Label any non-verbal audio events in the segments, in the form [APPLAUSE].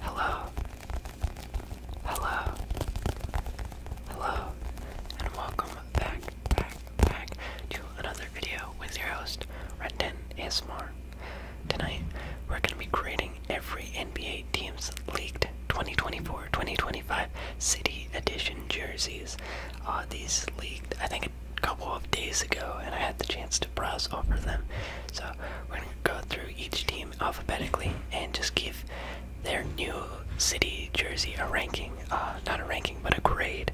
Hello. Hello. Hello. And welcome back, back, back to another video with your host, Renton Ismore. Tonight, we're going to be creating every NBA team's leaked 2024-2025 City Edition jerseys. Uh, these leaked, I think couple of days ago, and I had the chance to browse over them. So we're gonna go through each team alphabetically and just give their new city jersey a ranking, uh, not a ranking, but a grade,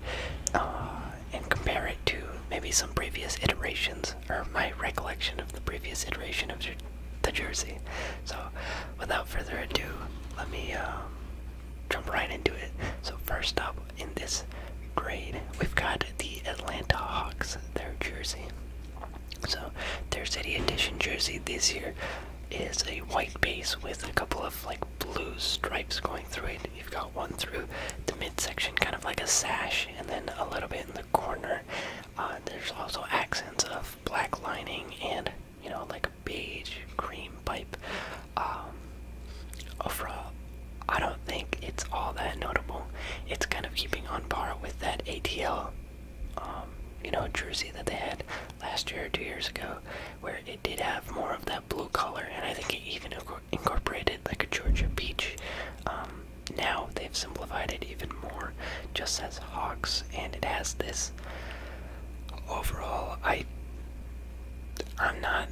uh, and compare it to maybe some previous iterations or my recollection of the previous iteration of the jersey. So without further ado, let me um, jump right into it. So first up, in this grade. We've got the Atlanta Hawks, their jersey. So their city edition jersey this year is a white base with a couple of like blue stripes going through it. You've got one through the midsection, kind of like a sash, and then a little bit in the corner. Uh, there's also accents of black lining and you know like beige cream pipe. Um, overall, I don't think it's all that notable. It's kind of keeping on par with that ATL, um, you know, jersey that they had last year or two years ago, where it did have more of that blue color, and I think it even incorporated like a Georgia peach. Um, now they've simplified it even more, just says Hawks, and it has this. Overall, I, I'm not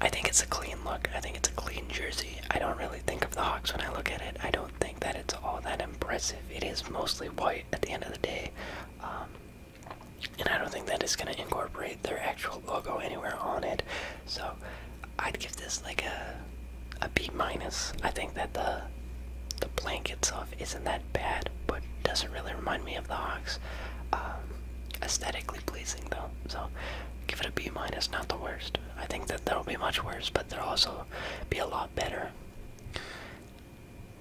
I think it's a clean look. I think it's a clean jersey. I don't really think of the Hawks when I look at it. I don't think that it's all that impressive. It is mostly white at the end of the day. Um, and I don't think that it's going to incorporate their actual logo anywhere on it. So I'd give this like a a B minus. I think that the the blank itself isn't that bad, but doesn't really remind me of the Hawks. Um, aesthetically pleasing though. So give it a B minus, not the worst. I think that there'll be much worse, but there'll also be a lot better.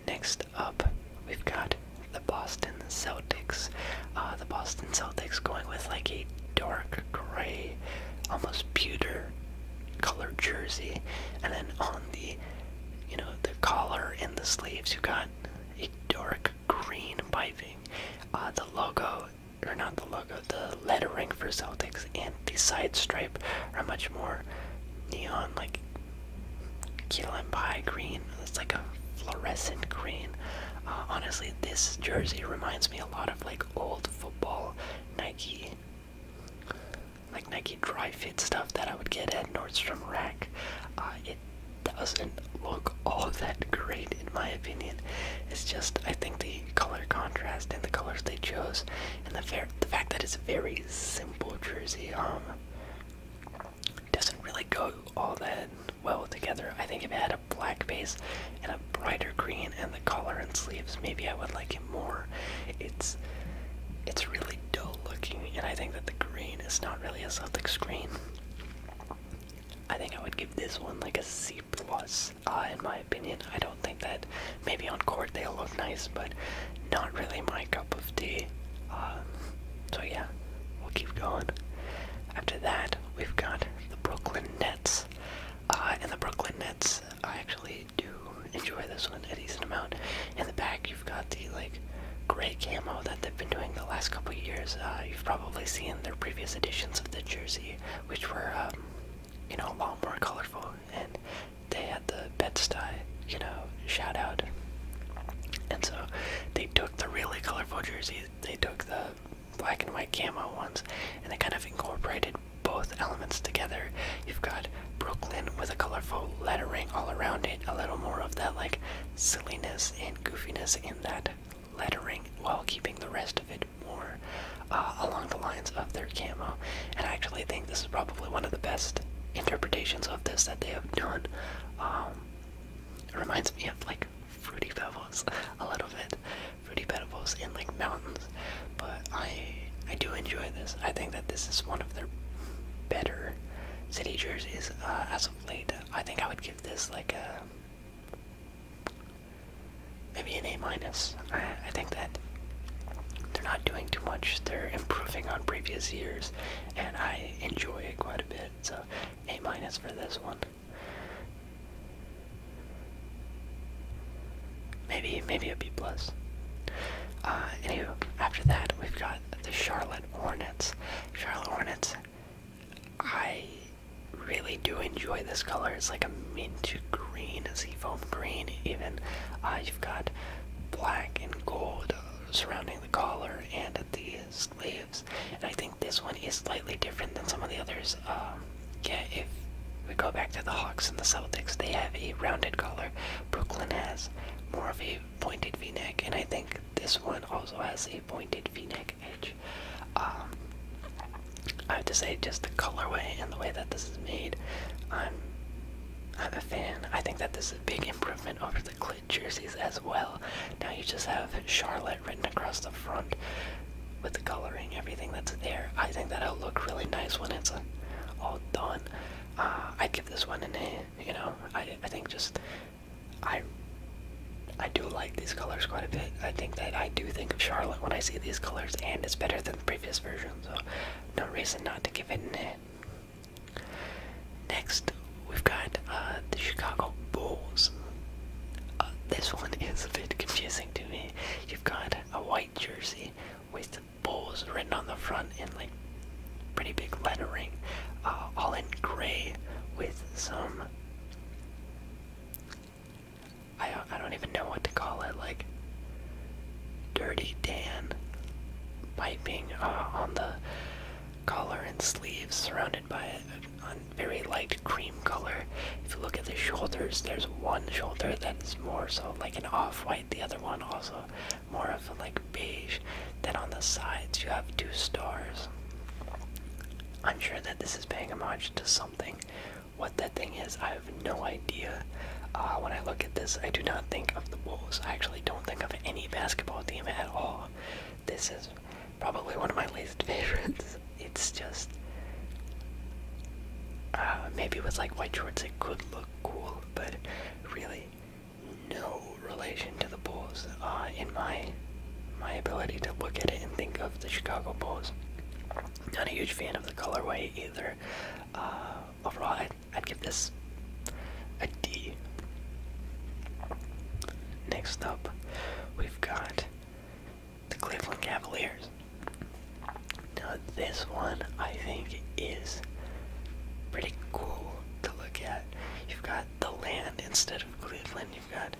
Next up, we've got the Boston Celtics. Uh, the Boston Celtics going with like a dark gray, almost pewter color jersey, and then on the, you know, the collar and the sleeves, you've got a dark green piping. Uh, the logo or not the logo, the lettering for Celtics and the side stripe are much more neon, like Kilo green. It's like a fluorescent green. Uh, honestly, this jersey reminds me a lot of like old football Nike, like Nike dry fit stuff that I would get at Nordstrom Rack. Uh, doesn't look all that great in my opinion. It's just I think the color contrast and the colors they chose, and the fair the fact that it's a very simple jersey um doesn't really go all that well together. I think if it had a black base and a brighter green and the collar and sleeves, maybe I would like it more. It's it's really dull looking, and I think that the green is not really a Celtic green. I think I would give this one like a C plus, uh, in my opinion. I don't think that maybe on court they'll look nice, but not really my cup of tea. Um, so yeah, we'll keep going. After that, we've got the Brooklyn Nets, uh, and the Brooklyn Nets. I actually do enjoy this one a decent amount. In the back, you've got the like gray camo that been doing the last couple years. Uh, you've probably seen their previous editions of the jersey, which were, um, you know, a lot more colorful, and they had the Bed-Stuy, you know, shout out. And so they took the really colorful jerseys, they took the black and white camo ones, and they kind of incorporated both elements together. You've got Brooklyn with a colorful lettering all around it, a little more of that like silliness and goofiness in that lettering while keeping the rest of it more uh, along the lines of their camo. And I actually think this is probably one of the best interpretations of this that they have done. Um, it reminds me of like fruity pebbles [LAUGHS] a little bit, fruity pebbles in like mountains. But I I do enjoy this. I think that this is one of their better city jerseys uh, as of late. I think I would give this like a Maybe an A minus. I, think that they're not doing too much. They're improving on previous years, and I enjoy it quite a bit. So A minus for this one. Maybe maybe a B plus. Uh, anywho, after that we've got the Charlotte Hornets. Charlotte Hornets I really do enjoy this color. It's like a mint green, a seafoam green, even. Uh, you've got black and gold surrounding the collar and at the sleeves. And I think this one is slightly different than some of the others. Um, yeah, if we go back to the Hawks and the Celtics, they have a rounded collar. Brooklyn has more of a pointed v neck, and I think this one also has a pointed v neck. Um, I have to say, just the colorway and the way that this is made, I'm, a fan. I think that this is a big improvement over the Clit jerseys as well. Now you just have Charlotte written across the front with the coloring, everything that's there. I think that'll look really nice when it's uh, all done. Uh, I'd give this one A. You know, I I think just I I do like these colors quite a bit. I think that I do think of Charlotte when I see these colors, and it's better than the previous version, so no reason not to give it a. hit. Next, we've got uh, the Chicago Bulls. Uh, this one [LAUGHS] is a bit confusing to me. You've got a white jersey with the Bulls written on the front in like pretty big lettering, uh, all in gray with some I don't, I don't even know what to call it. Like dirty Dan piping uh, on the collar and sleeves, surrounded by a, a, very light cream color. If you look at the shoulders, there's one shoulder that is more so like an off-white, the other one also more of a like beige. Then on the sides, you have two stars. I'm sure that this is paying homage to something. What that thing is, I have no idea. Uh, when I look at this, I do not think of the Bulls. I actually don't think of any basketball team at all. This is probably one of my least [LAUGHS] favorites. It's just. Uh, maybe with like white shorts it could look cool, but really no relation to the Bulls. Uh, in my my ability to look at it and think of the Chicago Bulls. Not a huge fan of the colorway either. Uh, overall, I'd, I'd give this a D. Next up, we've got the Cleveland Cavaliers. Now, this one I think is pretty cool to look at. You've got the land instead of Cleveland. You've got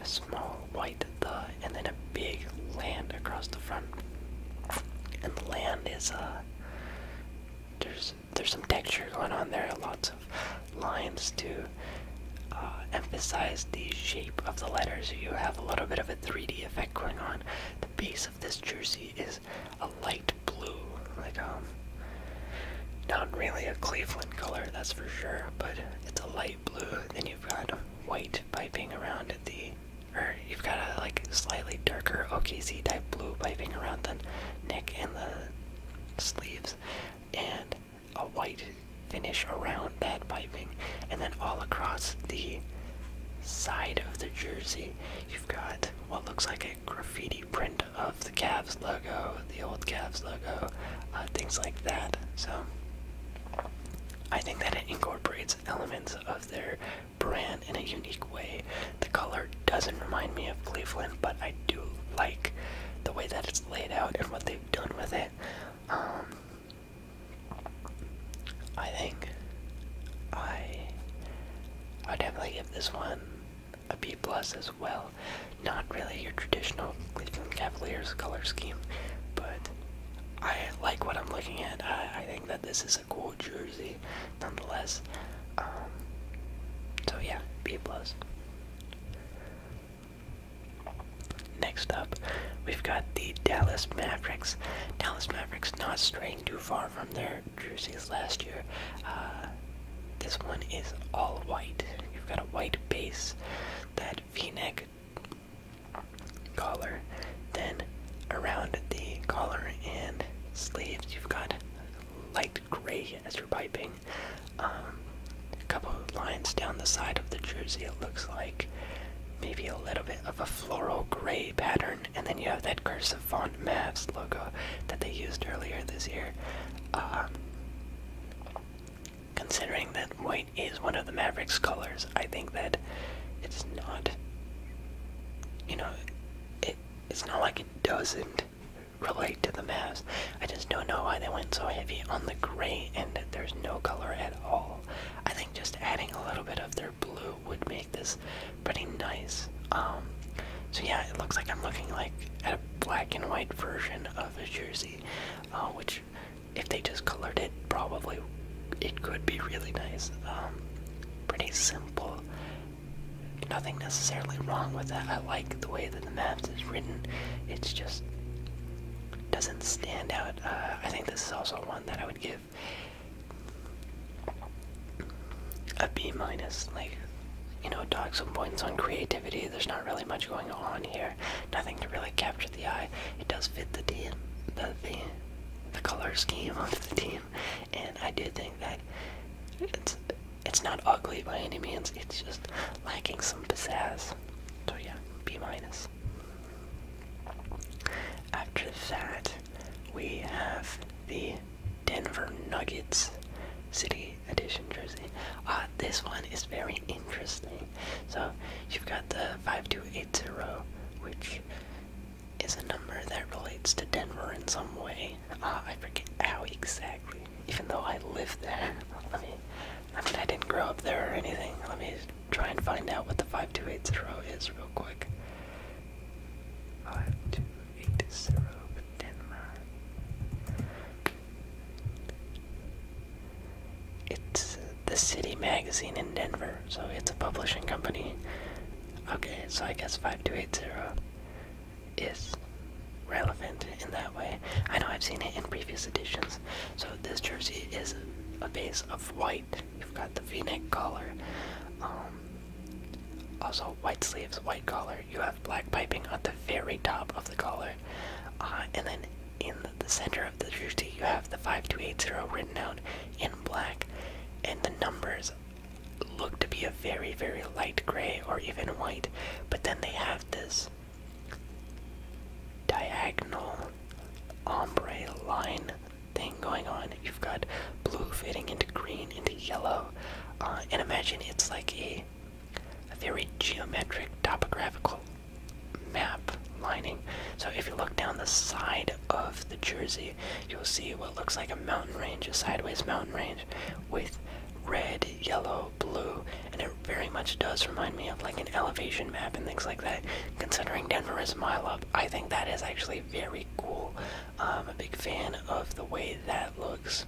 a small white the, and then a big land across the front. And the land is uh there's there's some texture going on there, lots of lines to uh, emphasize the shape of the letters. You have a little bit of a 3D effect going on. The base of this jersey is a light blue, like um, not really a Cleveland color, that's for sure, but it's a light light blue, then you've got white piping around the, or you've got a like slightly darker OKC type blue piping around the neck and the sleeves, and a white finish around that piping, and then all across the side of the jersey, you've got what looks like a graffiti print of the Cavs logo, the old Cavs logo, uh, things like that. So I think that it incorporates elements of their brand in a unique way. The color doesn't remind me of Cleveland, but I do like the way that it's laid out and what they've done with it. Um, I think I I would definitely give this one a B plus as well. Not really your traditional Cleveland Cavaliers color scheme, but I like what I'm looking at. I, think that this is a cool jersey, nonetheless. Um, so yeah, B plus. Next up, we've got the Dallas Mavericks. Dallas Mavericks not straying too far from their jerseys last year. Uh, this one is all white. You've got a white base that v-neck collar. Then around the collar and sleeves, you've got light gray as your piping. Um, a couple lines down the side of the jersey, it looks like. Maybe a little bit of a floral gray pattern, and then you have that cursive font Mavs logo that they used earlier this year. Um, considering that white is one of the Mavericks' colors, I think that it's not. You know, it it's not like it doesn't relate to the mask. I just don't know why they went so heavy on the gray and that there's no color at all. I think just adding a little bit of their blue would make this pretty nice. Um, so yeah, it looks like I'm looking like at a black and white version of a jersey, uh, which if they just colored it, probably it could be really nice. Um, pretty simple. Nothing necessarily wrong with that. I like the way that the maps is written. It's just doesn't stand out. Uh, I think this is also one that I would give a B minus. Like, you know, dock some points on creativity. There's not really much going on here. Nothing to really capture the eye. It does fit the team, the the, the color scheme [LAUGHS] of the team, and I do think that it's it's not ugly by any means. It's just lacking some pizzazz. So yeah, B minus. After that, we have the Denver Nuggets, City edition jersey. Uh, this one is very interesting. So you've got the 5280, which is a number that relates to Denver in some way. Ah, I forget how exactly, even though I live there. [LAUGHS] I mean, I didn't grow up there or anything. Let me try and find out what the 5280 is real quick. 5280 Denver. It's the City Magazine in Denver, so it's a publishing company. Okay, so I guess 5280 is relevant in that way. I know I've seen it in previous editions. So this jersey is a base of white. You've got the v-neck collar. Um, also, white sleeves, white collar. You have black piping at the very top of the collar. Uh, and then in the center of the jersey, you have the 5280 written out in black, and the numbers look to be a very, very light gray or even white, but then they have this diagonal ombre line thing going on. You've got blue fading into green into yellow, uh, and imagine it's like a a very geometric topographical map lining. So if you look down the side of the Jersey, you'll see what looks like a mountain range, a sideways mountain range with red, yellow, blue, and it very much does remind me of like an elevation map and things like that. Considering Denver is a mile up, I think that is actually very cool. I'm um, a big fan of the way that looks.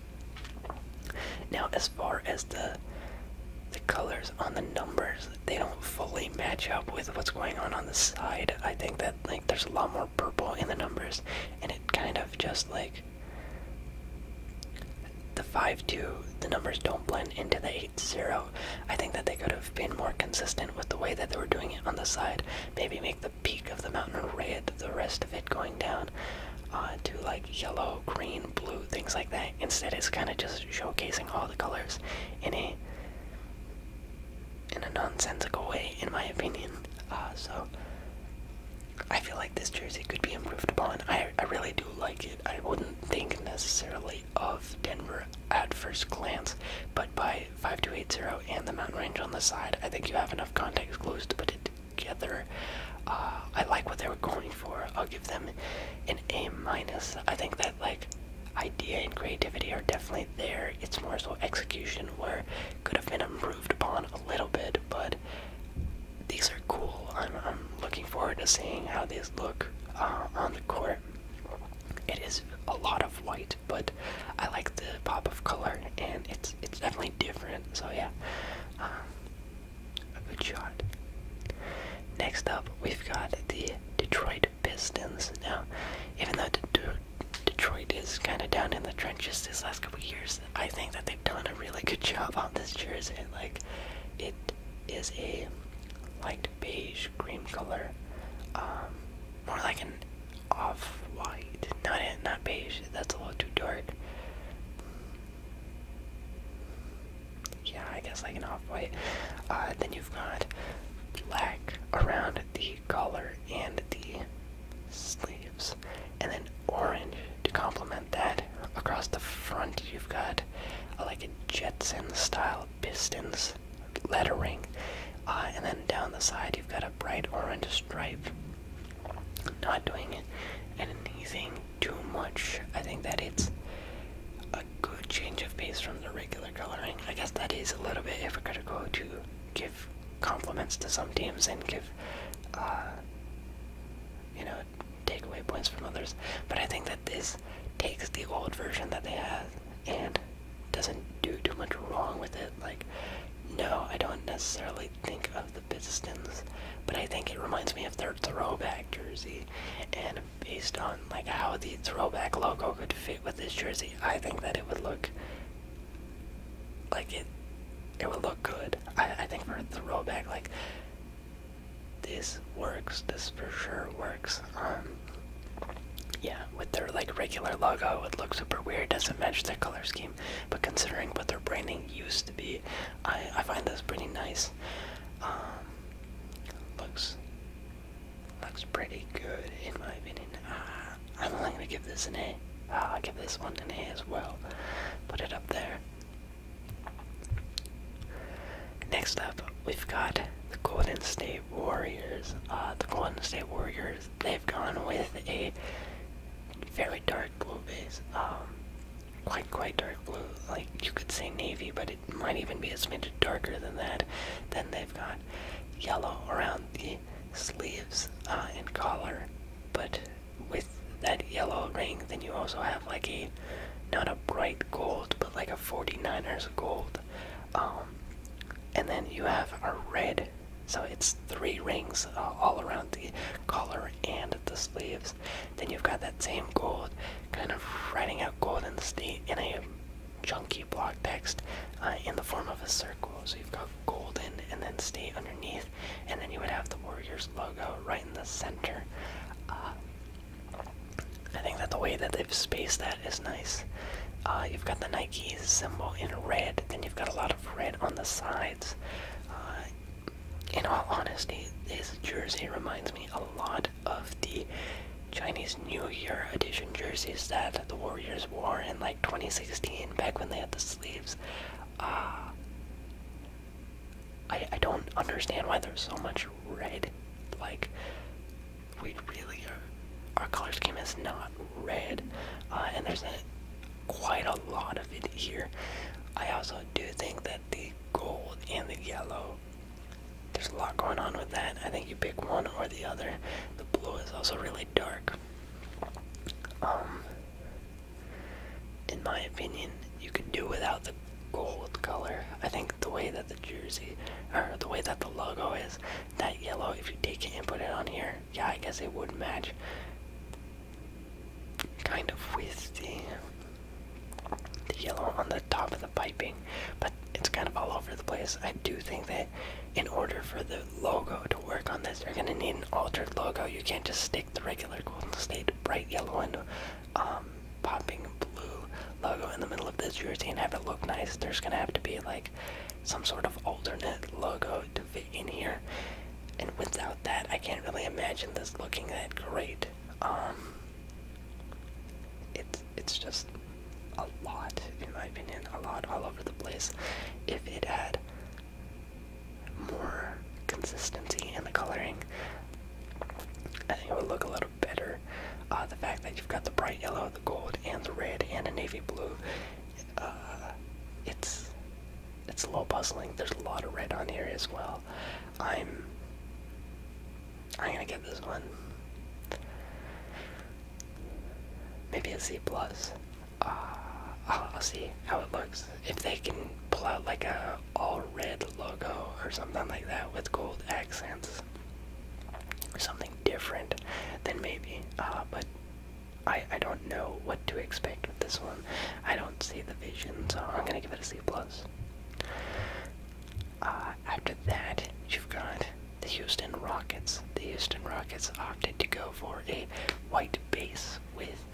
Now, as far as the the colors on the numbers they don't fully match up with what's going on on the side. I think that like there's a lot more purple in the numbers, and it kind of just like the five two the numbers don't blend into the eight zero. I think that they could have been more consistent with the way that they were doing it on the side. Maybe make the peak of the mountain red, the rest of it going down. Uh, to like yellow, green, blue, things like that. Instead, it's kind of just showcasing all the colors in a in a nonsensical way, in my opinion. Uh, so I feel like this jersey could be improved upon. I I really do like it. I wouldn't think necessarily of Denver at first glance, but by 5280 and the mountain range on the side, I think you have enough context clues to put it together. Uh, I like what they were going for. I'll give them an A minus. I think that like idea and creativity are definitely there. It's more so execution where could have been improved upon a little bit, but these are cool. I'm I'm looking forward to seeing how these look uh, on the court. It is a lot of white, but I like the pop of color, and it's it's definitely different. So yeah, uh, a good shot. Next up, we've got the Detroit Pistons. Now, even though Detroit is kind of down in the trenches this last couple years, I think that they've done a really good job on this jersey. Like, it is a light beige cream color, um, more like an off-white. Not not beige. That's a little too dark yeah, I guess like an off white. Uh, then you've got black around the collar and the sleeves, and then orange to complement that. Across the front, you've got uh, like a Jetson style pistons lettering, uh, and then down the side, you've got a bright orange stripe. Not doing anything too much. I think that it's a good change of pace from the regular coloring. I guess that is a little bit hypocritical to give compliments to some teams and give, uh, you know, take away points from others. But I think that this takes the old version that they have and doesn't do too much wrong with it. Like, no, I don't necessarily think of the Pistons, but I think it reminds me of their throwback jersey. And based on like how the throwback logo could fit with this jersey, I think that it would look like it it would look good. I, I think for a throwback like this works. This for sure works. Um, yeah, with their like regular logo, it looks super weird. Doesn't match their color scheme. But considering what their branding used to be, I I find those pretty nice. Um, looks looks pretty good in my opinion. Uh, I'm only gonna give this an A. will uh, give this one an A as well. Put it up there. Next up, we've got the Golden State Warriors. Uh, the Golden State Warriors, they've gone with a very dark blue base. Um, like quite dark blue, like you could say navy, but it might even be a smidge darker than that. Then they've got yellow around the sleeves and uh, collar, but with that yellow ring, then you also have like a not a bright gold, but like a 49ers gold. Um, and then you have a red, so it's three rings uh, all around the collar and the sleeves. Then you've got that same gold kind of writing out Golden State in a chunky block text uh, in the form of a circle. So you've got Golden and then State underneath, and then you would have the Warriors logo right in the center. Uh, I think that the way that they've spaced that is nice. Uh, you've got the Nike symbol in red, then you've got a lot of red on the sides in all honesty, this jersey reminds me a lot of the Chinese New Year edition jerseys that the Warriors wore in like 2016, back when they had the sleeves. Uh, I I don't understand why there's so much red. Like, we really are, our color scheme is not red, uh, and there's quite a lot of it here. I also do think that the gold and the yellow. There's a lot going on with that. I think you pick one or the other. The blue is also really dark. Um, in my opinion, you could do without the gold color. I think the way that the jersey, or the way that the logo is, that yellow, if you take it and put it on here, yeah, I guess it would match kind of with the yellow on the top of the piping, but it's kind of all over the place. I do think that in order for the logo to work on this, you're gonna need an altered logo. You can't just stick the regular Golden State bright yellow and um, popping blue logo in the middle of this jersey and have it look nice. There's gonna have to be like some sort of alternate logo to fit in here. And without that, I can't really imagine this looking that great. Um, it's it's just a lot, in my opinion, a lot all over the place. If it had more consistency in the coloring, I think it would look a little better. Uh, the fact that you've got the bright yellow, the gold, and the red, and a navy blue, uh, it's it's a little puzzling. There's a lot of red on here as well. I'm I'm gonna get this one. Maybe a C plus. Uh, I'll, see how it looks. If they can pull out like a all red logo or something like that with gold accents something different, then maybe. Uh, but I I don't know what to expect with this one. I don't see the vision, so I'm gonna give it a C plus. Uh, after that, you've got the Houston Rockets. The Houston Rockets opted to go for a white base with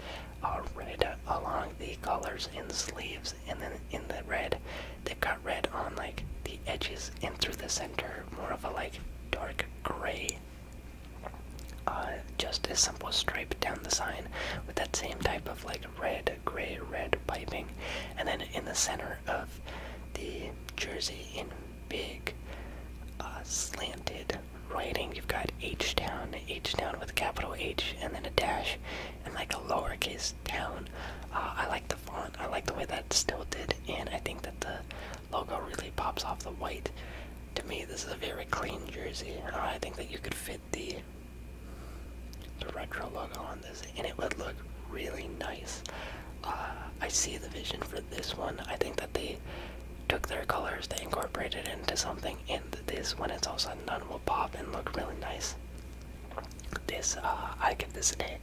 a red along the collars and sleeves, and then in the red, they've got red on like the edges and through the center, more of a like dark gray. Uh, just a simple stripe down the sign with that same type of like red gray red piping. And then in the center of the jersey, in big uh, slanted writing, you've got H Town, H Town with a capital H, and then a dash, and like a lowercase town. Uh, I like the font, I like the way that's stilted, and I think that the logo really pops off the white. To me, this is a very clean jersey. Uh, I think that you could fit the retro logo on this, and it would look really nice. Uh, I see the vision for this one. I think that they took their colors, they incorporated it into something, and this, when it's all said and done, will pop and look really nice. This, uh, I give this an A.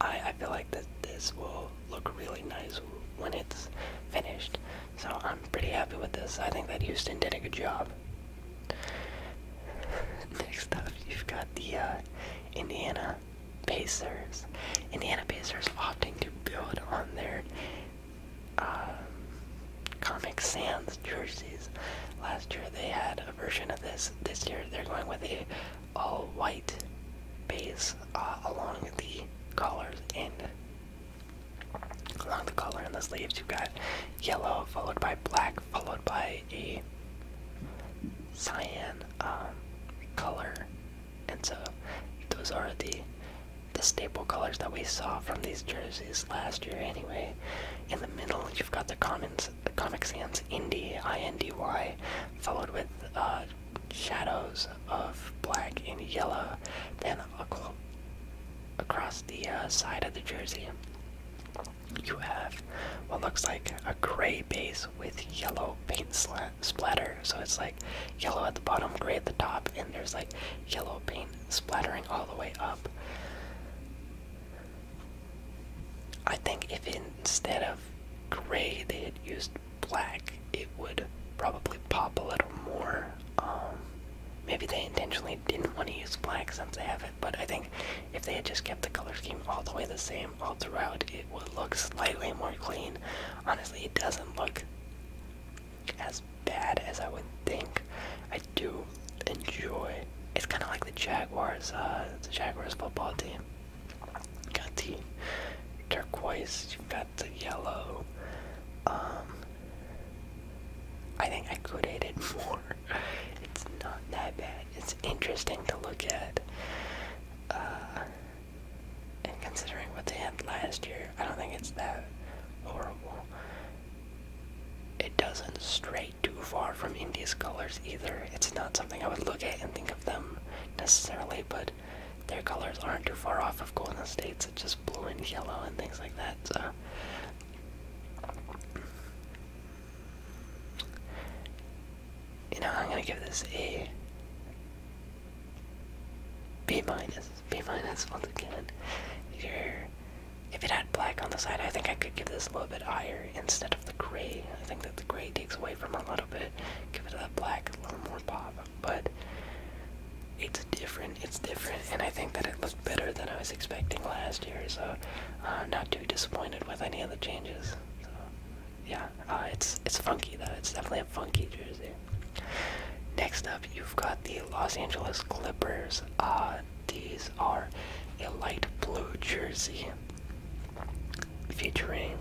I, I feel like that this will look really nice when it's finished. So I'm pretty happy with this. I think that Houston did a good job. [LAUGHS] Next up, you've got the uh, Indiana Pacers. Indiana Pacers opting to build on their um, Comic Sans jerseys. Last year they had a version of this. This year they're going with a all-white base uh, along the collars and Along the color in the sleeves, you've got yellow followed by black followed by a cyan um, color, and so those are the the staple colors that we saw from these jerseys last year. Anyway, in the middle, you've got the commons, Comic Sans indy, I N D Y, followed with uh, shadows of black and yellow, then across the uh, side of the jersey you have what looks like a gray base with yellow paint splatter. So it's like yellow at the bottom, gray at the top, and there's like yellow paint splattering all the way up. I think if instead of gray they had used black, it would probably pop a little more. Um, Maybe they intentionally didn't want to use black since they have it, but I think if they had just kept the color scheme all the way the same all throughout, it would look slightly more clean. Honestly, it doesn't look as bad as I would think. I do enjoy. It's kind of like the Jaguars, uh, the Jaguars football team. you got the turquoise, you've got the yellow, um, I think I could hate it more. [LAUGHS] It's not that bad. It's interesting to look at. Uh, and considering what they had last year, I don't think it's that horrible. It doesn't stray too far from India's colors either. It's not something I would look at and think of them necessarily, but their colors aren't too far off of Golden State's, it's just blue and yellow and things like that. So you know, I'm gonna give this a B minus. B minus once again. If if it had black on the side, I think I could give this a little bit higher instead of the gray. I think that the gray takes away from a little bit. Give it a black, a little more pop, but it's different. It's different, and I think that it was better than I was expecting last year. So I'm uh, not too disappointed with any of the changes. So, yeah, uh, it's it's funky though. It's definitely a funky jersey. Next up, you've got the Los Angeles Clippers. Uh, these are a light blue jersey featuring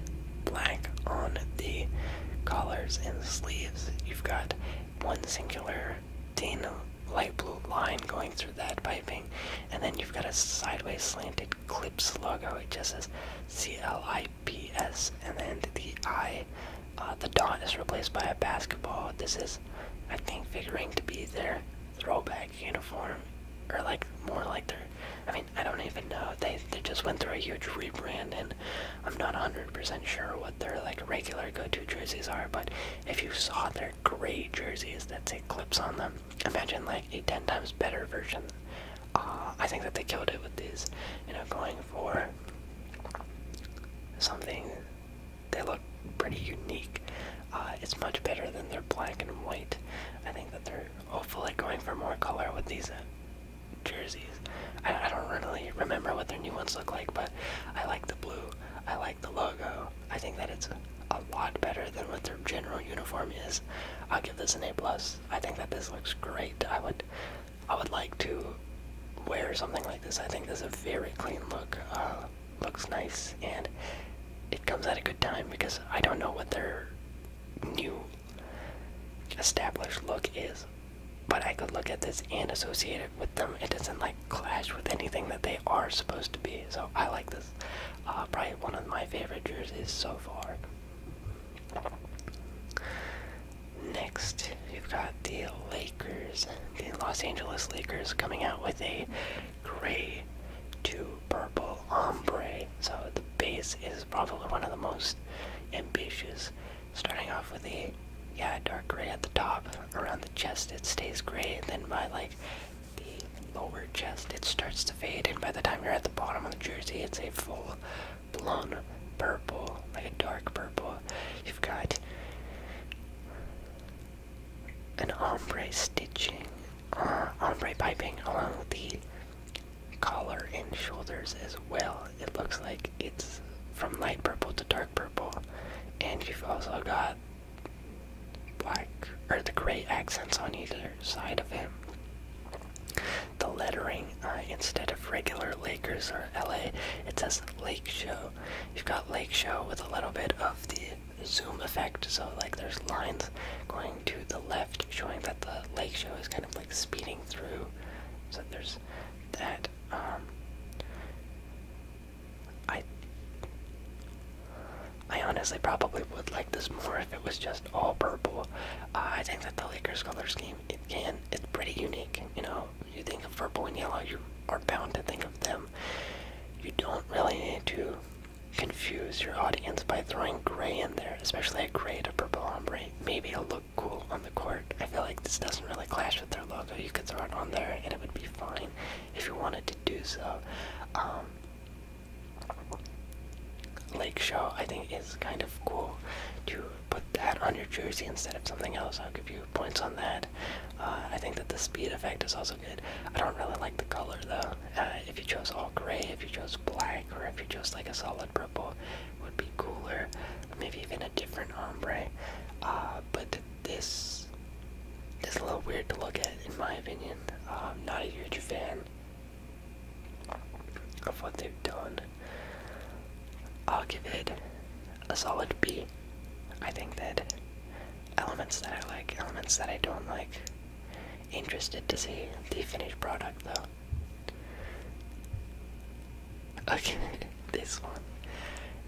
black on the collars and sleeves. You've got one singular thin light blue line going through that piping, and then you've got a sideways slanted clips logo. It just says C L I P S, and then the I, uh, the dot is replaced by a basketball. This is, I think, figuring to be their throwback uniform, or like more like their. I mean, I don't even know. They they just went through a huge rebrand, and I'm not 100% sure what their like regular go-to jerseys are. But if you saw their are gray jerseys that say clips on them. Imagine like a 10 times better version. Uh, I think that they killed it with these, you know, going for something they look pretty unique. Uh, it's much better than their black and white. I think that they're hopefully going for more color with these uh, jerseys. I, I don't really remember what their new ones look like, but I like the blue. I like the logo. I think that it's a lot better than what their general uniform is. I'll give this an A plus. I think that this looks great. I would, I would like to wear something like this. I think this is a very clean look. Uh, looks nice, and it comes at a good time because I don't know what their new established look is. But I could look at this and associate with them. It doesn't like clash with anything that they are supposed to be. So I like this. Uh, probably one of my favorite jerseys so far. Next, you've got the Lakers, the Los Angeles Lakers, coming out with a gray to purple ombre. So the base is probably one of the most ambitious, starting off with a yeah, dark gray at the top. Around the chest, it stays gray, then by like the lower chest, it starts to fade. And by the time you're at the bottom of the jersey, it's a full blown purple, like a dark purple. You've got an ombre stitching, uh, ombre piping along the collar and shoulders as well. It looks like it's from light purple to dark purple. And you've also got black or the gray accents on either side of him. The lettering, uh, instead of regular Lakers or LA, it says Lake Show. You've got Lake Show with a little bit of the zoom effect, so like there's lines going to the left showing that the lake show is kind of like speeding through. So there's that. Um, I I honestly probably would like this more if it was just all purple. Uh, I think that the Lakers color scheme it can it's pretty unique. You know, you think of purple and yellow, you are bound to think of them. You don't really need to confuse your audience by throwing gray in there, especially a gray to purple ombre. Maybe it'll look cool on the court. I feel like this doesn't really clash with their logo. You could throw it on there and it would be fine if you wanted to do so. Um, Lake Show, I think, is kind of cool to put that on your jersey instead of something else. I'll give you points on that. Uh, I think that the speed effect is also good. I don't really like the color though. Uh, if you chose all gray, if you chose black, or if you chose like a solid purple, would be cooler. Maybe even a different ombre. Uh, but liked this. is a little weird to look at, in my opinion. I'm um, not a huge fan of what they've done. I'll give it a solid B. I think that elements that I like, elements that I don't like. Interested to see the finished product though. Okay, [LAUGHS] this one.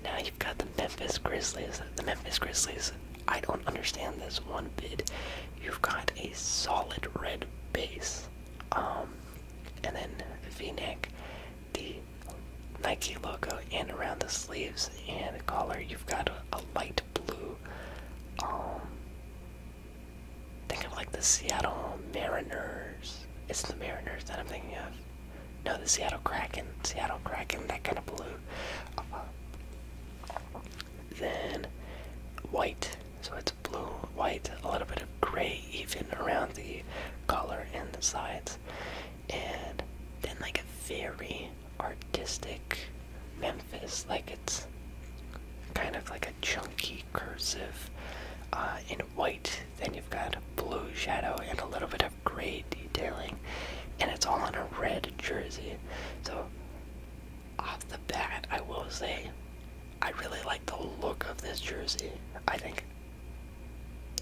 Now you you've got the Memphis Grizzlies. The Memphis Grizzlies, I don't understand this one bit. You've got a solid red base. Um, and then V-neck, the Nike logo, and around the sleeves and collar, you've got a, light blue. Um, think of like the Seattle Mariners. It's the Mariners that I'm thinking of. No, the Seattle Kraken. Seattle Kraken, that kind of blue. Uh, then white. So it's blue, white, a little bit of gray even around the collar and the sides. And then like a very artistic Memphis, like it's kind of like a chunky cursive uh, in white. Then you've got blue shadow and a little bit of great detailing, and it's all in a red jersey. So, off the bat, I will say I really like the look of this jersey. I think,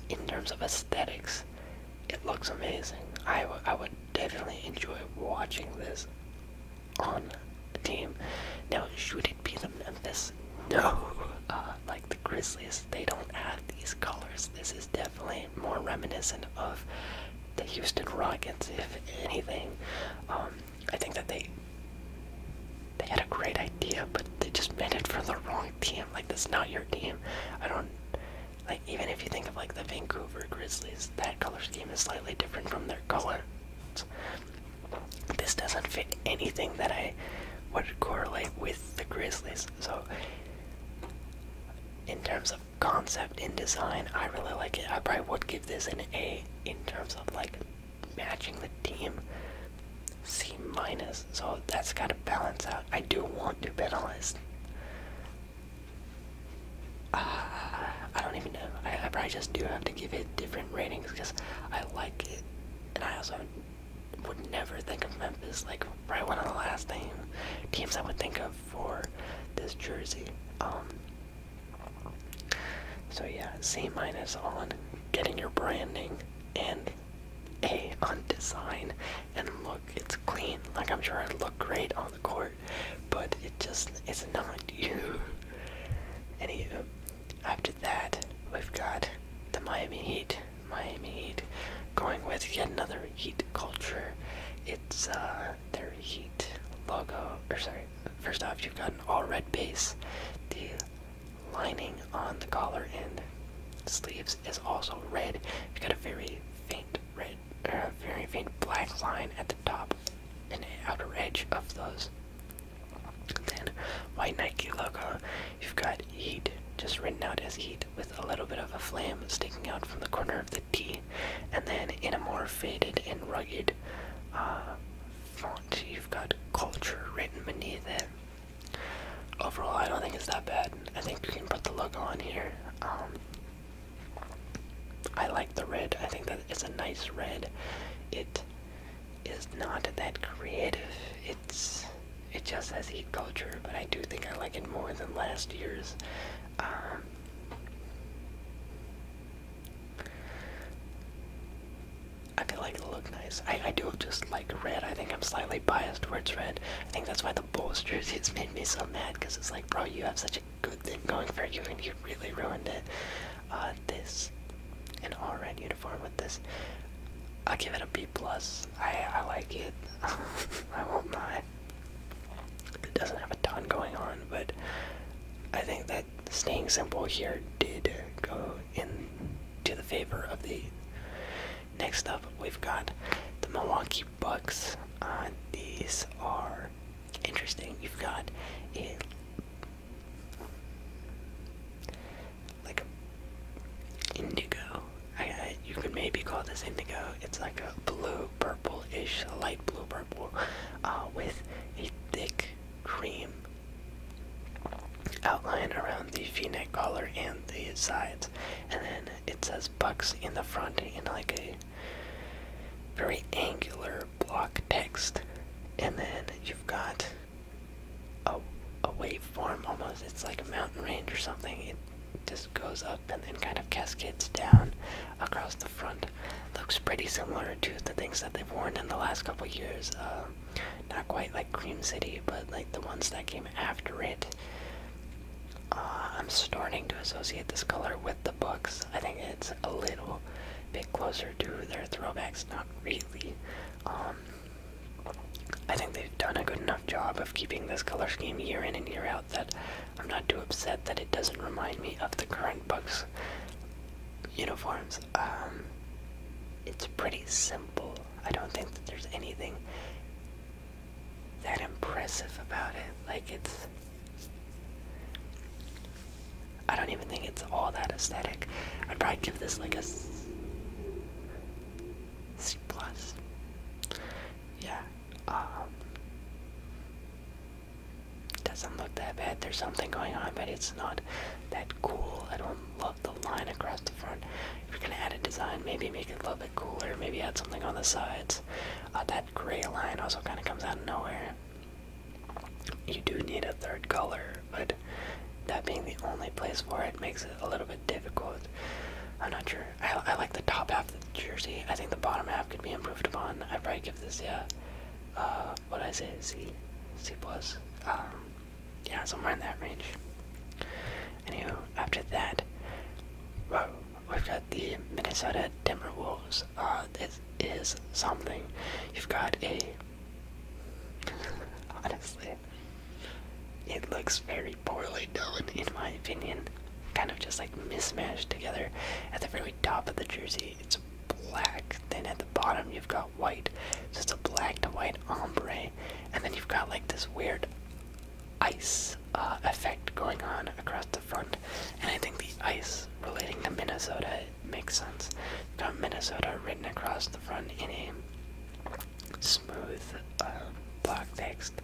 in terms of aesthetics, it looks amazing. I, I would definitely enjoy watching this on the team. Now, should it be the Memphis? No. [LAUGHS] Uh, like the Grizzlies they don't add these colors. This is definitely more reminiscent of the Houston Rockets, if anything. Um, I think that they they had a great idea, but they just made it for the wrong team. Like this is not your team. I don't like even if you think of like the Vancouver Grizzlies, that color scheme is slightly different from their colors. This doesn't fit anything that I would correlate with the Grizzlies. So, in terms of concept and design, I really like it. I probably would give this an A in terms of like matching the team. C minus, so that's got to balance out. I do want to bet on this. Ah, I don't even know. I probably just do have to give it different ratings because I like it, and I also would never think of Memphis. Like right one of the last team, teams I would think of for this jersey. Um, so yeah, C minus on getting your branding and A on design. And look, it's clean. Like I'm sure it look great on the court, but it just it's not [LAUGHS] you. Anywho, uh, after that we've got the Miami Heat Miami Heat going with yet another Heat culture. It's uh, their Heat logo, or sorry, first off, you've got an all red base. The lining on the collar and sleeves is also red. You've got a very faint red, uh, very faint black line at the top and outer edge of those. Then, white Nike logo. You've got Heat, just written out as Heat with a little bit of a flame sticking out from the corner of the T, and then in a more faded and rugged uh, font, you've got culture written beneath it. Overall, I don't think it's that bad. I think you can put the logo on here. Um, I like the red. I think that it's a nice red. It is not that creative. It's it just says Heat Culture, but I do think I like it more than last year's. Um, I feel like it'll nice. I, I do just like red. I think I'm slightly biased towards red. I think that's why the Bulls jersey has [LAUGHS] made me so mad because it's like, bro, you have such a good thing going for you and you really ruined it. Uh, this, an all red uniform with this. I'll give it a B plus. I I like it. [LAUGHS] I won't lie. It doesn't have a ton going on, but I think that staying simple here did go in to the favor of the. Next up, we've got the Milwaukee Bucks. Uh, these are interesting. You've got like indigo you could maybe call this indigo. It's like a blue purple-ish, light blue purple, uh, with a thick cream outline around the V-neck collar and the sides, and then it says Bucks in the front in like a very angular block text, and then you've got a a waveform almost. It's like a mountain range or something just goes up and then kind of cascades down across the front. Looks pretty similar to the things that they've worn in the last couple years. Um, not quite like Cream City, but like the ones that came after it. Uh, I'm starting to associate this color with the books. I think it's a little bit closer to their throwbacks, not really. Um, I think they've done a good enough job of keeping this color scheme year in and year out that I'm not too upset that it doesn't remind me of the current books' uniforms. Um, it's pretty simple. I don't think that there's anything that impressive about it. Like it's. I don't even think it's all that aesthetic. I'd probably give this like a C plus yeah, um, doesn't look that bad. There's something going on, but it's not that cool. I don't love the line across the front. If you're gonna add a design, maybe make it a little bit cooler. Maybe add something on the sides. Uh, that gray line also kind of comes out of nowhere. You do need a third color, but that being the only place for it makes it a little bit difficult. I'm not sure I, like the top half of the jersey. I think the bottom half could be improved upon. I'd probably give this, yeah, uh, what I say, C, C plus. Um, yeah, somewhere in that range. Anywho, after that, well, we've got the Minnesota Timberwolves. Uh, this is something. You've got a, [LAUGHS] honestly, it looks very poorly done, in my opinion. Kind of just like mismatched together. At the very top of the jersey, it's black. Then at the bottom, you've got white. So it's a black to white ombre. And then you've got like this weird ice uh, effect going on across the front. And I think the ice relating to Minnesota makes sense. you Minnesota written across the front in a smooth uh, block text.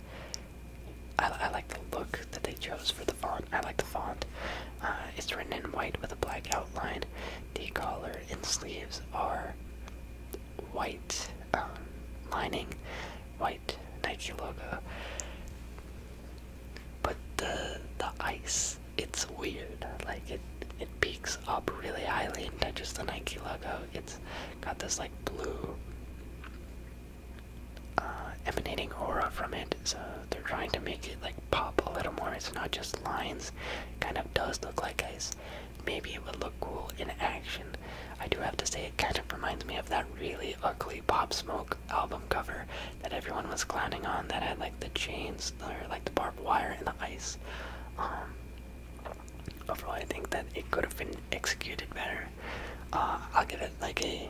I, like the look that they chose for the font. I like the font. Uh, it's written in white with a black outline. The collar and sleeves are white um, lining, white Nike logo. But the the ice, it's weird. Like it it peaks up really highly and touches the Nike logo. It's got this like blue uh, emanating aura from it. So they're trying to make it like pop a little more. It's not just lines. kind of does look like ice. Maybe it would look cool in action. I do have to say it kind of reminds me of that really ugly Pop Smoke album cover that everyone was clowning on that had like the chains or like the barbed wire and the ice. Um, Overall, I think that it could have been executed better. Uh, I'll give it like a.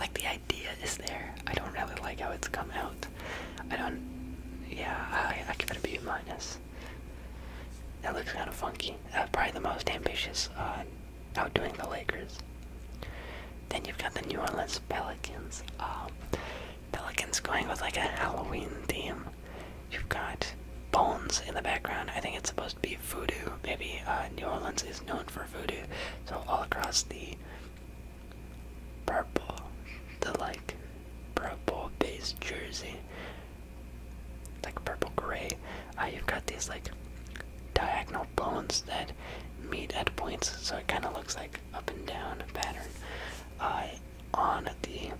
Like the idea is there. I don't really like how it's come out. I don't. Yeah, I, I give it a B minus. That looks kind of funky. Uh, probably the most ambitious uh, outdoing the Lakers. Then you've got the New Orleans Pelicans. Um, Pelicans going with like a Halloween theme. You've got bones in the background. I think it's supposed to be voodoo. Maybe uh, New Orleans is known for voodoo. So all across the purple, the like purple base jersey, like purple gray, uh, you've got these like diagonal bones that meet at points. So it kind of looks like up and down pattern. Uh, on the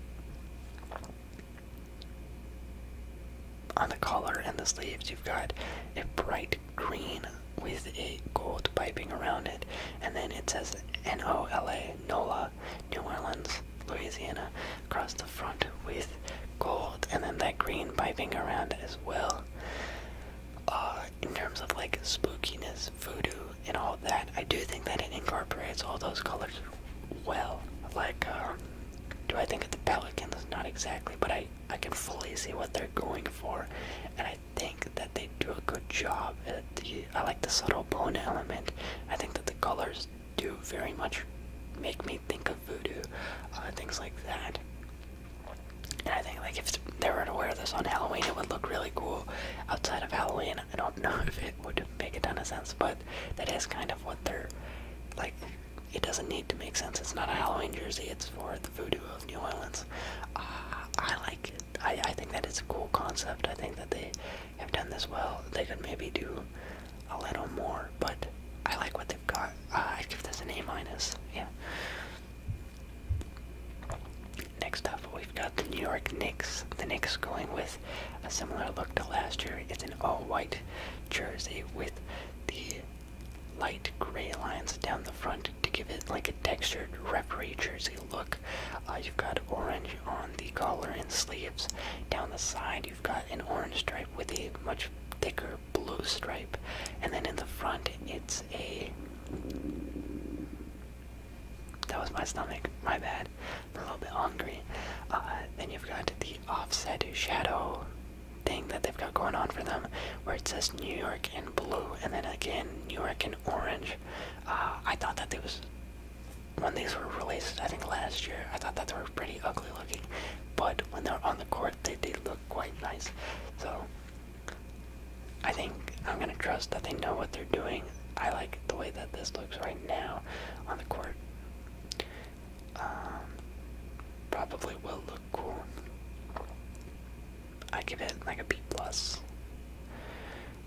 on the collar and the sleeves you've got a bright green with a gold piping around it and then it says N-O-L-A NOLA New Orleans Louisiana across the front with gold and then that green piping around it as well uh in terms of like spookiness voodoo and all that, I do think that it incorporates all those colors well. Like, uh, do I think of the Pelicans? Not exactly, but I, I can fully see what they're going for, and I think that they do a good job. At the, I like the subtle bone element. I think that the colors do very much make me think of voodoo, uh, things like that. And I think like if they were to wear this on Halloween, it would look really cool. Outside of Halloween, I don't know [LAUGHS] if it would make a ton of sense, but that is kind of what they're like. It doesn't need to make sense. It's not a Halloween jersey. It's for the voodoo of New Orleans. Uh, I like I, think that it's a cool concept. I think that they have done this well. They could maybe do a little more, but I like what they've got. Uh, I'd give this an A minus. Yeah. Next up, we've got the New York Knicks. The Knicks going with a similar look to last year. It's an all-white jersey with the light gray lines down the front to give it like a textured referee jersey look. Uh, you've got orange on the collar and sleeves. Down the side, you've got an orange stripe with a much thicker blue stripe, and then in the front, it's a that was my stomach, my bad. I'm a little bit hungry. Uh, then you've got the offset shadow thing that they've got going on for them, where it says New York in blue, and then again New York in orange. Uh, I thought that it when these were released, I think last year, I thought that they were pretty ugly looking, but when they're on the court, they look quite nice. So, I think I'm gonna trust that they know what they're doing. I like the way that this looks right now on the court. Um, probably will look cool. I give it like a B plus.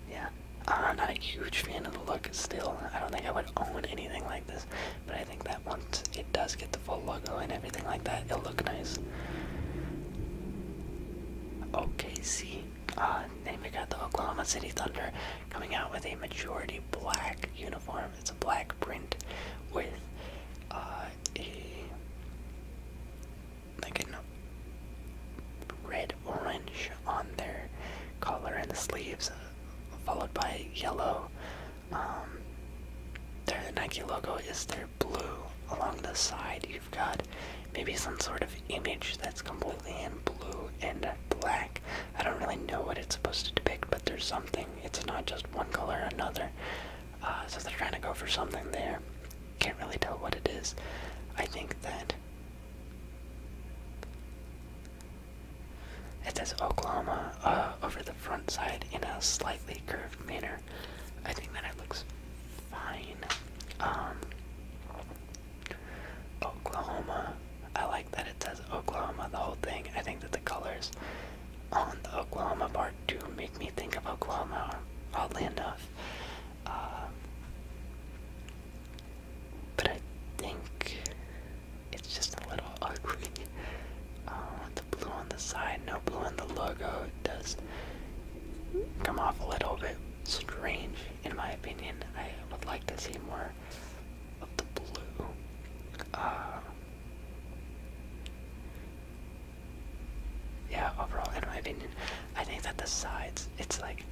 Yeah, I'm not a huge fan of the look still. I don't think I would own anything like this, but I think that once it does get the full logo and everything like that, it'll look nice. OKC uh, then we got the Oklahoma City Thunder coming out with a majority black uniform. It's a black print with uh, a like an red orange on their collar and the sleeves, uh, followed by yellow. Um, their Nike logo is their blue along the side you maybe some sort of image that's completely in blue and black. I don't really know what it's supposed to depict, but there's something. It's not just one color or another. Uh, so they're trying to go for something there. Can't really tell what it is. I think that. It says Oklahoma uh, over the front side in a slightly curved manner. I think that it looks fine. Um, Oklahoma. I like that it says Oklahoma, the whole thing. I think that the colors on the Oklahoma part do make me think of Oklahoma, oddly enough. Uh, but I think it's just a little [LAUGHS] ugly. Uh, the blue on the side, no blue in the logo, it does come off a little bit strange in my opinion, I would like to see more of the blue. Uh, yeah, overall, in my opinion, I think that the sides, it's like,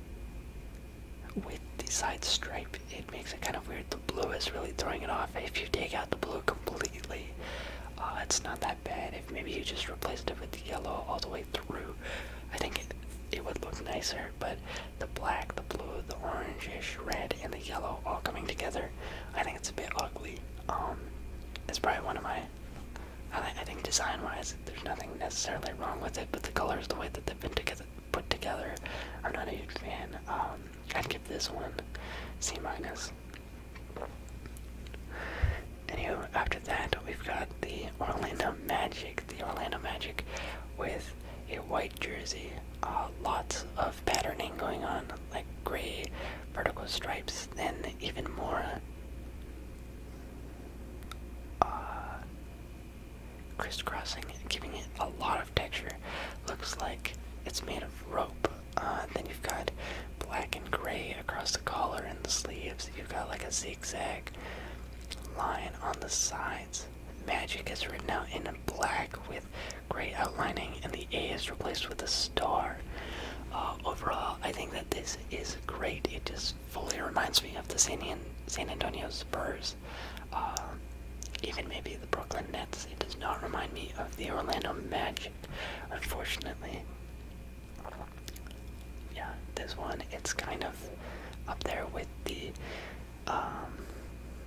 with the side stripe, it makes it kind of weird. The blue is really throwing it off. If you take out the blue completely, uh, it's not that bad. If maybe you just replaced it with yellow all the way through. I think it, it would look nicer, but the black, the blue, the orangish red, and the yellow all coming together, I think it's a bit ugly. Um, it's probably one of my. I, think design-wise, there's nothing necessarily wrong with it, but the colors, the way that they've been together, put together, I'm not a huge fan. Um, I'd give this one C minus. Anyway, after that, we've got the Orlando Magic. The Orlando Magic with a white jersey. Uh, lots of patterning going on, like gray vertical stripes, then even more uh, crisscrossing, giving it a lot of texture. Looks like it's made of rope. Uh, then you've got black and gray across the collar and the sleeves. You've got like a zigzag Line on the sides. Magic is written out in black with gray outlining, and the A is replaced with a star. Uh, overall, I think that this is great. It just fully reminds me of the San, Antonio Spurs. Uh, even maybe the Brooklyn Nets. It does not remind me of the Orlando Magic, unfortunately yeah, this one it's kind of up there with the um,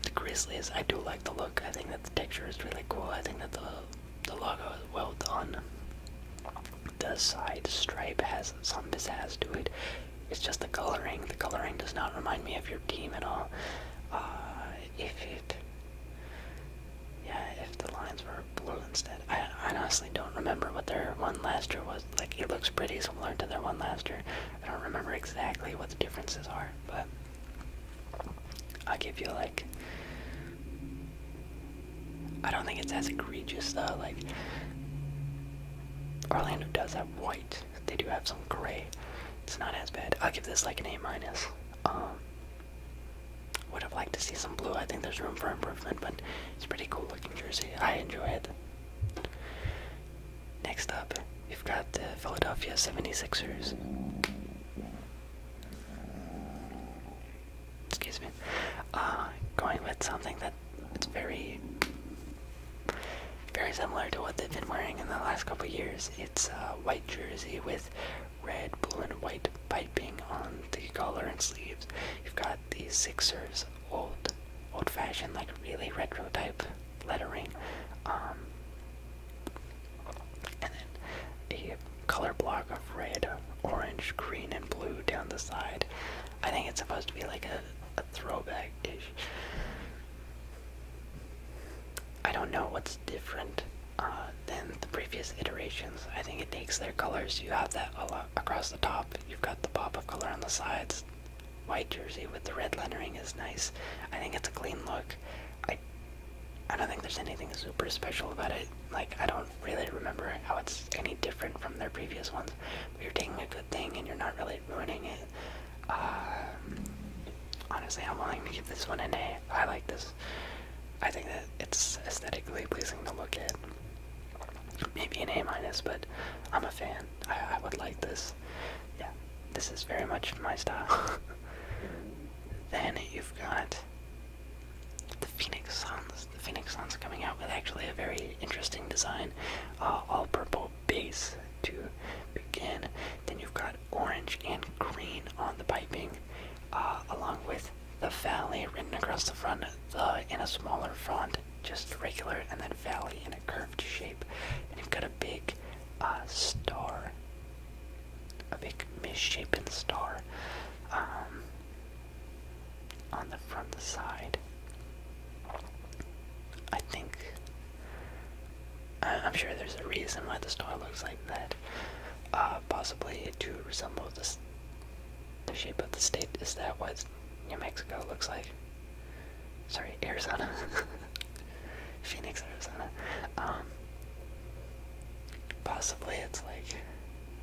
the Grizzlies. I do like the look. I think that the texture is really cool. I think that the the logo is well done. The side stripe has some pizzazz to it. It's just the coloring. The coloring does not remind me of your team at all. Uh, if it, yeah, if the lines were blue instead, I, honestly don't remember what their one last year was. Like, it looks pretty similar to their one last year. I don't remember exactly what the differences are, but I'll give you like. I don't think it's as egregious though. Like, Orlando does have white. They do have some gray. It's not as bad. I'll give this like an A minus. Um, would have liked to see some blue. I think there's room for improvement, but it's pretty cool looking jersey. I enjoy it. Next up, we've got the Philadelphia 76ers. Excuse me. Uh, going with something that it's very, very similar to what they've been wearing in the last couple of years. It's a white jersey with red, blue, and white piping on the collar and sleeves. You've got the Sixers old, old-fashioned, like really retro type lettering. Um, and then a color block of red, orange, green, and blue down the side. I think it's supposed to be like a, throwback-ish. I don't know what's different uh, than the previous iterations. I think it takes their colors. You have that a lot across the top. You've got the pop of color on the sides. White jersey with the red lettering is nice. I think it's a clean look. I I don't think there's anything super special about it. Like I don't really remember how it's any different from their previous ones. But you're taking a good thing and you're not really ruining it. Um, honestly, I'm willing to give this one an A. I like this. I think that it's aesthetically pleasing to look at maybe an A minus, but I'm a fan. I, would like this. Yeah, this is very much my style. [LAUGHS] then you've got the Phoenix Suns. The Phoenix Suns coming out with actually a very interesting design, uh, all purple base to begin. Then you've got orange and green on the piping, uh, along with the valley written across the front, the in a smaller font just regular, and then valley in a curved shape. And you've got a big uh, star, a big misshapen star um, on the front side. I think. I am sure there's a reason why the star looks like that. Uh, possibly to resemble the, shape of the state. Is that what's New Mexico looks like. Sorry, Arizona. [LAUGHS] Phoenix, Arizona. Um, possibly it's like,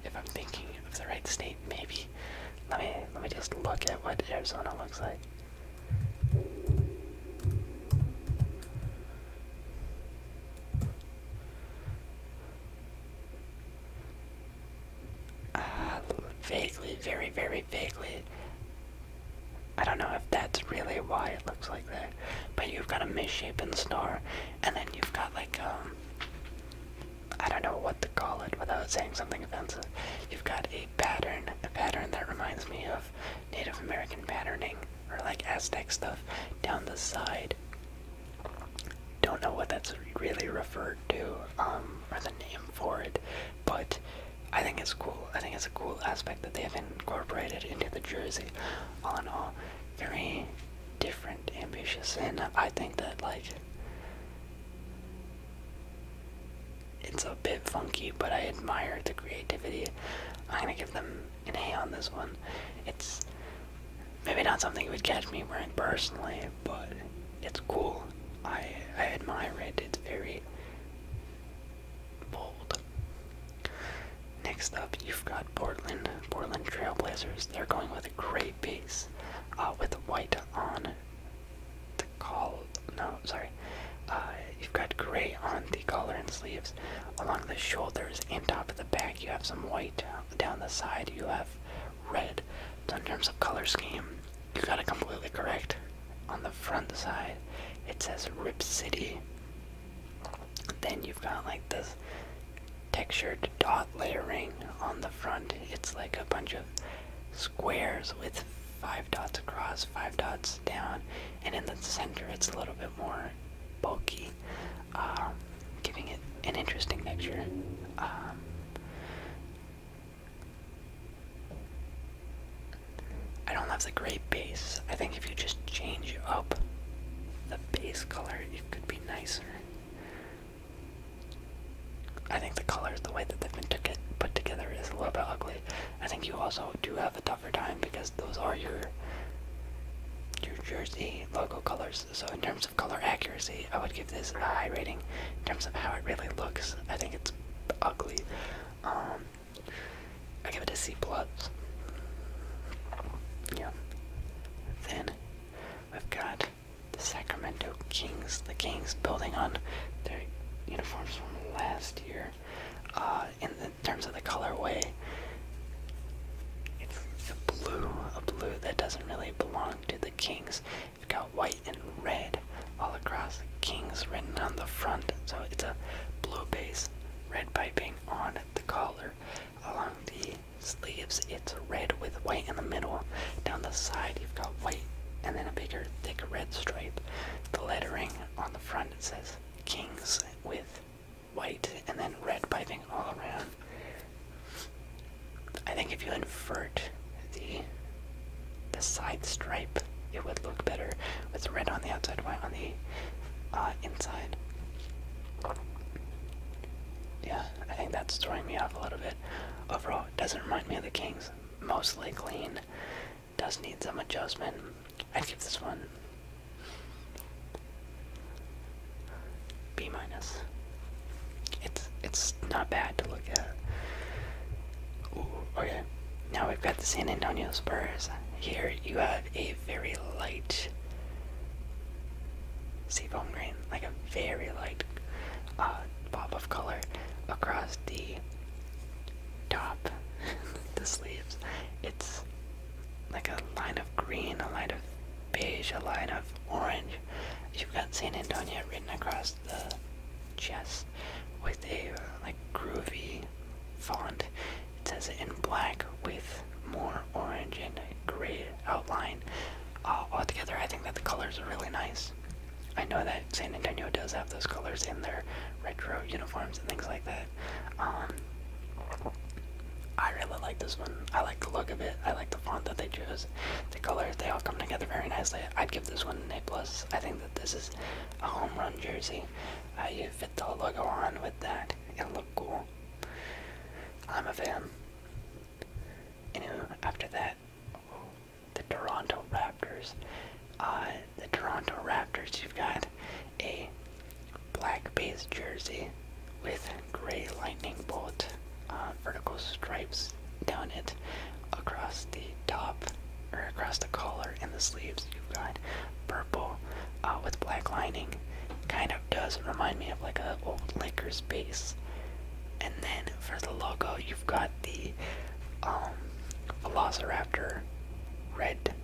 if I'm thinking of the right state, maybe. Let me let me just look at what Arizona looks like. Uh, vaguely, very, very vaguely. I don't know if that's really why it looks like that. But you've got a misshapen star, and then you've got like, um, I don't know what to call it without saying something offensive. You've got a pattern, a pattern that reminds me of Native American patterning, or like Aztec stuff, down the side. Don't know what that's really referred to um, or the name for it, but I think it's cool. I think it's a cool aspect that they have incorporated into the jersey. All in all, very different, ambitious, and I think that like it's a bit funky, but I admire the creativity. I'm gonna give them an A on this one. It's maybe not something you would catch me wearing personally, but it's cool. I I admire it. It's very bold. Next up, you've got Portland, Portland Trailblazers. They're going with a gray base, uh, with white on the call. No, sorry. Uh, you've got gray on the collar and sleeves, along the shoulders and top of the back. You have some white down the side. You have red. So in terms of color scheme, you got it completely correct. On the front side, it says Rip City. Then you've got like this textured dot layering on the front. It's like a bunch of squares with five dots across, five dots down, and in the center it's a little bit more bulky, um, giving it an interesting texture. Um, I don't have the gray base. I think if you just change up the base color, it could be nicer. I think the colors, the way that they've been to put together, is a little bit ugly. I think you also do have a tougher time because those are your New jersey logo colors. So in terms of color accuracy, I would give this a high rating. In terms of how it really looks, I think it's ugly. Um, I give it a C plus. Yeah. Then we've got the Sacramento Kings. The Kings building on their uniforms from last year. Uh, in terms of the colorway, it's a blue, a blue that doesn't really belong to the Kings. You've got white and red all across the kings written on the front. So it's a blue base, red piping on the collar. Along the sleeves, it's red with white in the middle. Down the side, you've got white and then a bigger, thick red stripe. The lettering on the front it says kings with white and then red piping all around. I think if you invert the the side stripe, it would look better with red on the outside, white on the uh, inside. Yeah, I think that's throwing me off a little bit. Overall, it doesn't remind me of the Kings. Mostly clean. Does need some adjustment. I'd give this one B minus. It's it's not bad to look at. okay. Now we've got the San Antonio Spurs. Here you have a very light seafoam green, like a very light uh, pop of color across the top, [LAUGHS] the sleeves. It's like a line of green, a line of beige, a line of orange, You've got San Antonio written across the chest with a like groovy font. It says it in black with more orange and gray outline. All together, I think that the colors are really nice. I know that San Antonio does have those colors in their retro uniforms and things like that. Um, I really like this one. I like the look of it. I like the font that they chose the colors they all come together very nicely. I'd give this one A plus. I think that this is a home run jersey. Uh, you fit the logo on with that. It'll look cool. I'm a fan. Anyway, after that, the Toronto Raptors. Uh, the Toronto Raptors, you've got a black base jersey with gray lightning bolt. Uh, vertical stripes down it across the top or across the collar and the sleeves. You've got purple uh, with black lining. Kind of does remind me of like a old Lakers base. And then for the logo, you've got the um, Velociraptor red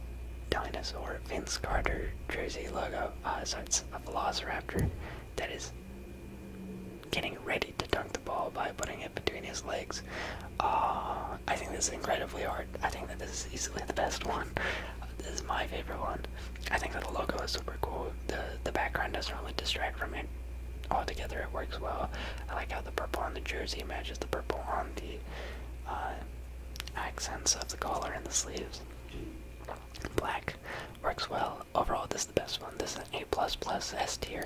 dinosaur Vince Carter jersey logo. Uh, so it's a Velociraptor that is getting ready to dunk the ball by putting it between his legs. Uh, I think this is incredibly hard. I think that this is easily the best one. this is my favorite one. I think that the logo is super cool. The the background doesn't really distract from it. Altogether, it works well. I like how the purple on the jersey matches the purple on the uh, accents of the collar and the sleeves. Black works well overall, this is the best one. This is an A plus plus S tier.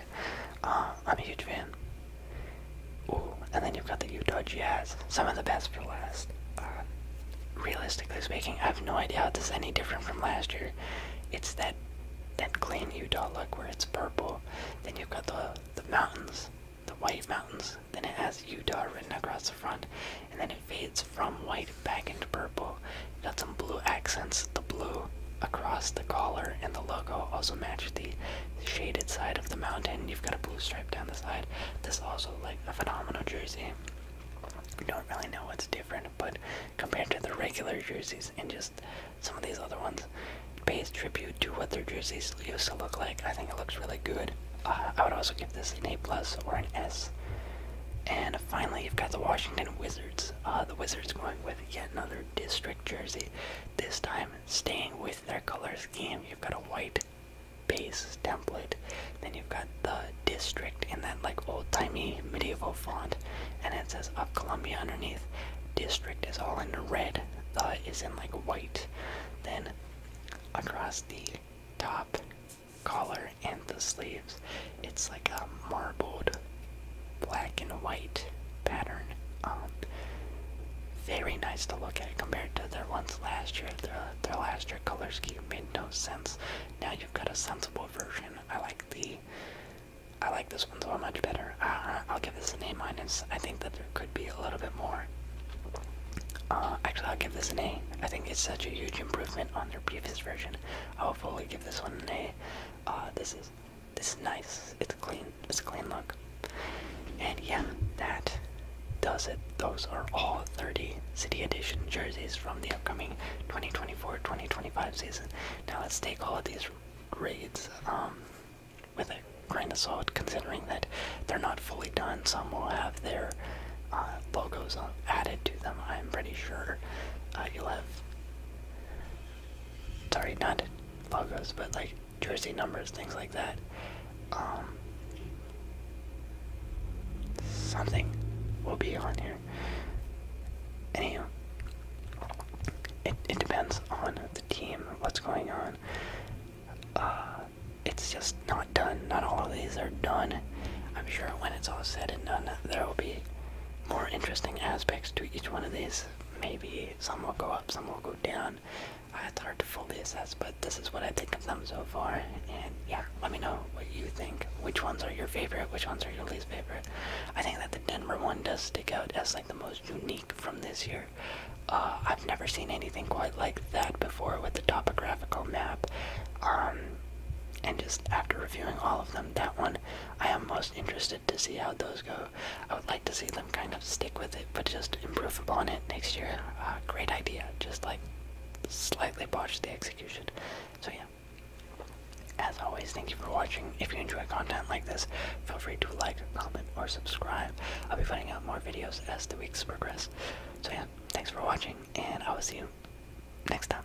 Um, I'm a huge fan. Ooh, and then you've got the Utah Jazz. Some of the best for last. Uh, realistically speaking, I have no idea how it's any different from last year. It's that that clean Utah look where it's purple. Then you've got the the mountains, the white mountains. Then it has Utah written across the front, and then it fades from white back into purple. got some blue accents, the blue across the collar and the logo also match the shaded side of the mountain. You've got a blue stripe down the side. This also like a phenomenal jersey. We don't really know what's different, but compared to the regular jerseys and just some of these other ones, pays tribute to what their jerseys used to look like. I think it looks really good. Uh, I would also give this an A plus or an S. And finally, you've got the Washington Wizards. Uh, the Wizards going with yet another district jersey. This time, staying with their color scheme. You've got a white base template. Then you've got the district in that like old-timey medieval font, and it says "Of Columbia" underneath. District is all in red. The is in like white. Then across the top collar and the sleeves. It's like a marbled black and white pattern. Um, very nice to look at compared to their ones last year. Their, last year color scheme made no sense. Now you've got a sensible version. I like the. I like this one so much better. I'll give this an A minus. I think that there could be a little bit more. Uh, actually, I'll give this an A. I think it's such a huge improvement on their previous version. I'll fully give this one an A. Uh, this is this nice. It's clean. It's a clean look. And yeah, that does it. Those are all 30 City Edition jerseys from the upcoming 2024-2025 season. Now let's take all of these grades um, with a grain of salt, considering that they're not fully done. Some will have their uh, logos uh, added to them. I'm pretty sure uh, you'll have sorry, not logos, but like jersey numbers, things like that. Um, something will be on here. Anyhow, it, it depends on the team, what's going on. Uh, it's just not done. Not all of these are done. I'm sure when it's all said and done, there will be more interesting aspects to each one of these. Maybe some will go up, some will go down. it's hard to fully assess, but this is what I think of them so far. And yeah, let me know what you think. Which ones are your favorite? Which ones are your least favorite? I think that the Denver one does stick out as like the most unique from this year. Uh, I've never seen anything quite like that before with the topographical map. Um, and just after reviewing all of them, that one I am most interested to see how those go. I would like to see them kind of stick with it, but just improve upon it next year. Uh, great idea, just like slightly botched the execution. So yeah. As always, thank you for watching. If you enjoy content like this, feel free to like, comment, or subscribe. I'll be putting out more videos as the weeks progress. So yeah, thanks for watching, and I will see you next time.